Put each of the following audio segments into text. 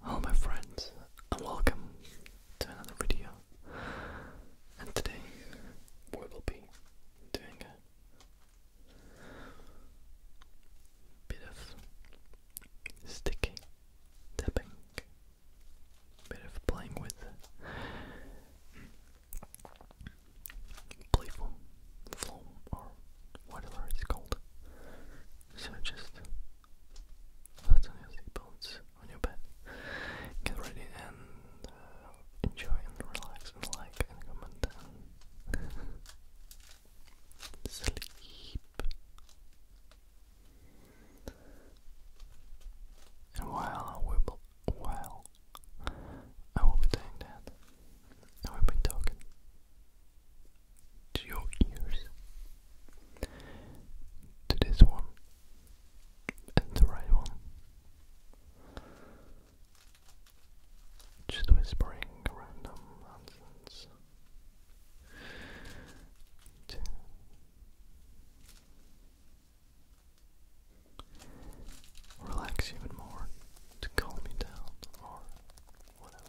Hello my friends and welcome to another video and today we will be doing a bit of sticky tapping, bit of playing with playful foam or whatever it's called. So just fasten your seatbelts on your bed, get ready and uh, enjoy relax like and comment and sleep. And while I while I will be doing I will be talking to your ears, to this one and the right one. Just whispering random nonsense. relax even more, to calm me down, or whatever.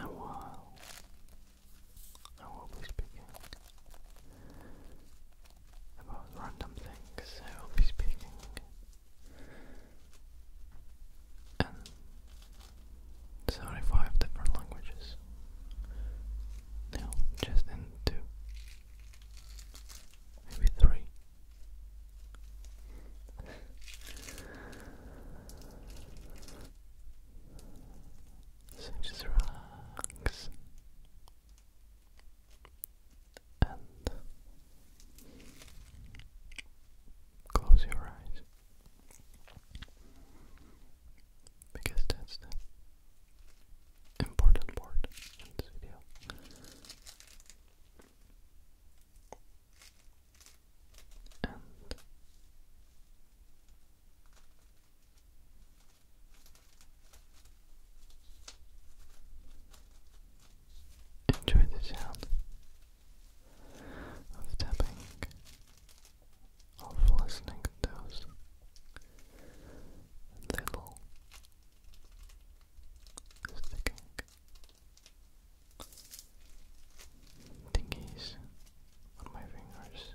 And while I will be speaking about random things I'll be speaking. And 75 different languages. No, just in two. Maybe three. So just relax and close your eyes because that's the important part in this video. Enjoy the sound of tapping, of listening to those little sticking dingies on my fingers.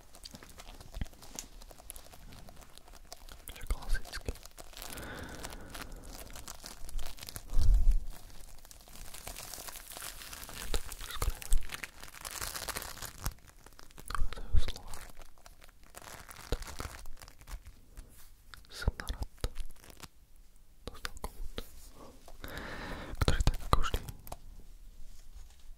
Čo klasicky. Dochádzajú slova. Tak. Som narad. Dostal kľud. Ktorý tak ako vždy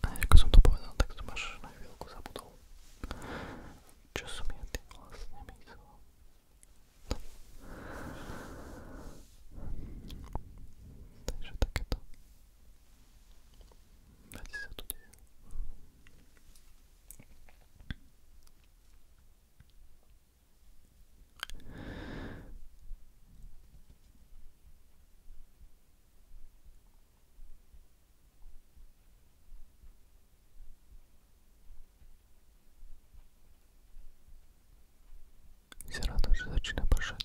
A ako som to povedal, tak som až na chvíľku zabudol. Čo som ja tým vlastne myslel? No. Takže takéto veci sa tu deje. Jsem rád, že začíná pršet.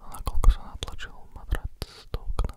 A nakoľko sa natlačil matrac do okna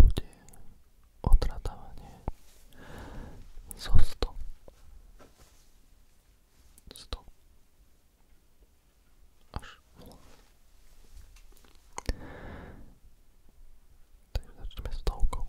bude odradávanie zo 100 100 až 0 takže začneme stovkou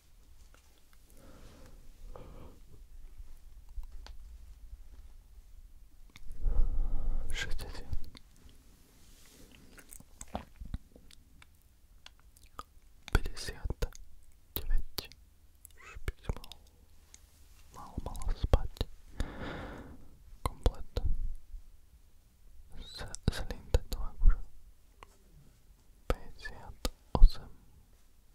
Všetci tie. Päťdesiat deväť. Už by som mal, mal, mal spať. Komplet. Z, zlým tetovákužom. 58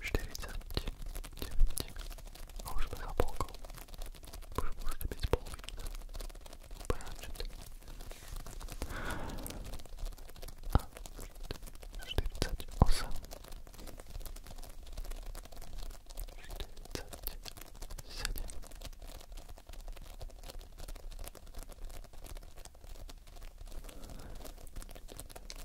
49 a už sme za polkou. Už môžete byť spolupníci. Úplne načite. A 48 47 46 47 46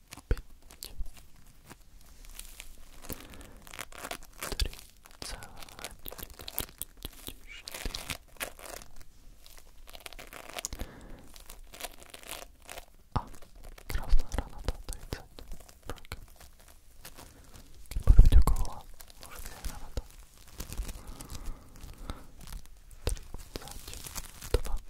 A krásna rána tá 30. Trojka. Keď bude byť okolo, môže byť aj rána tá. 32.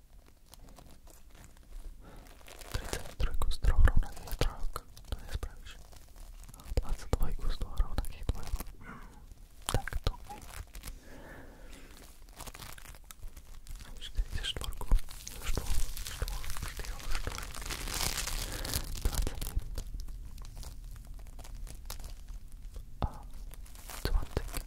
33 z troch rovnakých trojok, to nespravíš. Mm, a 22 z toho rovnakých dvojok. Takto. 44, 4, 4, 4, 4, 21 a 20.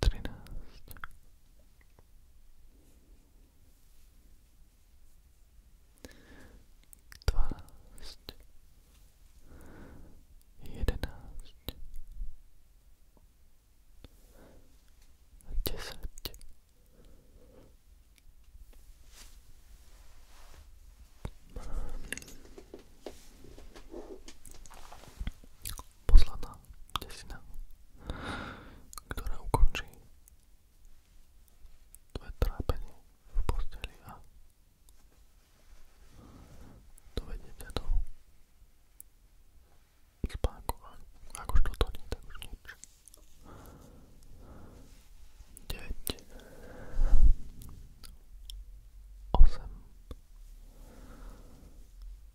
13 12 11 10 posledná desina, ktorá ukončí tvoje trápenie v posteli a dovedie ťa do spánku. Ak už toto nie, tak už nič. 9 8 7 6 5 4 3 2 1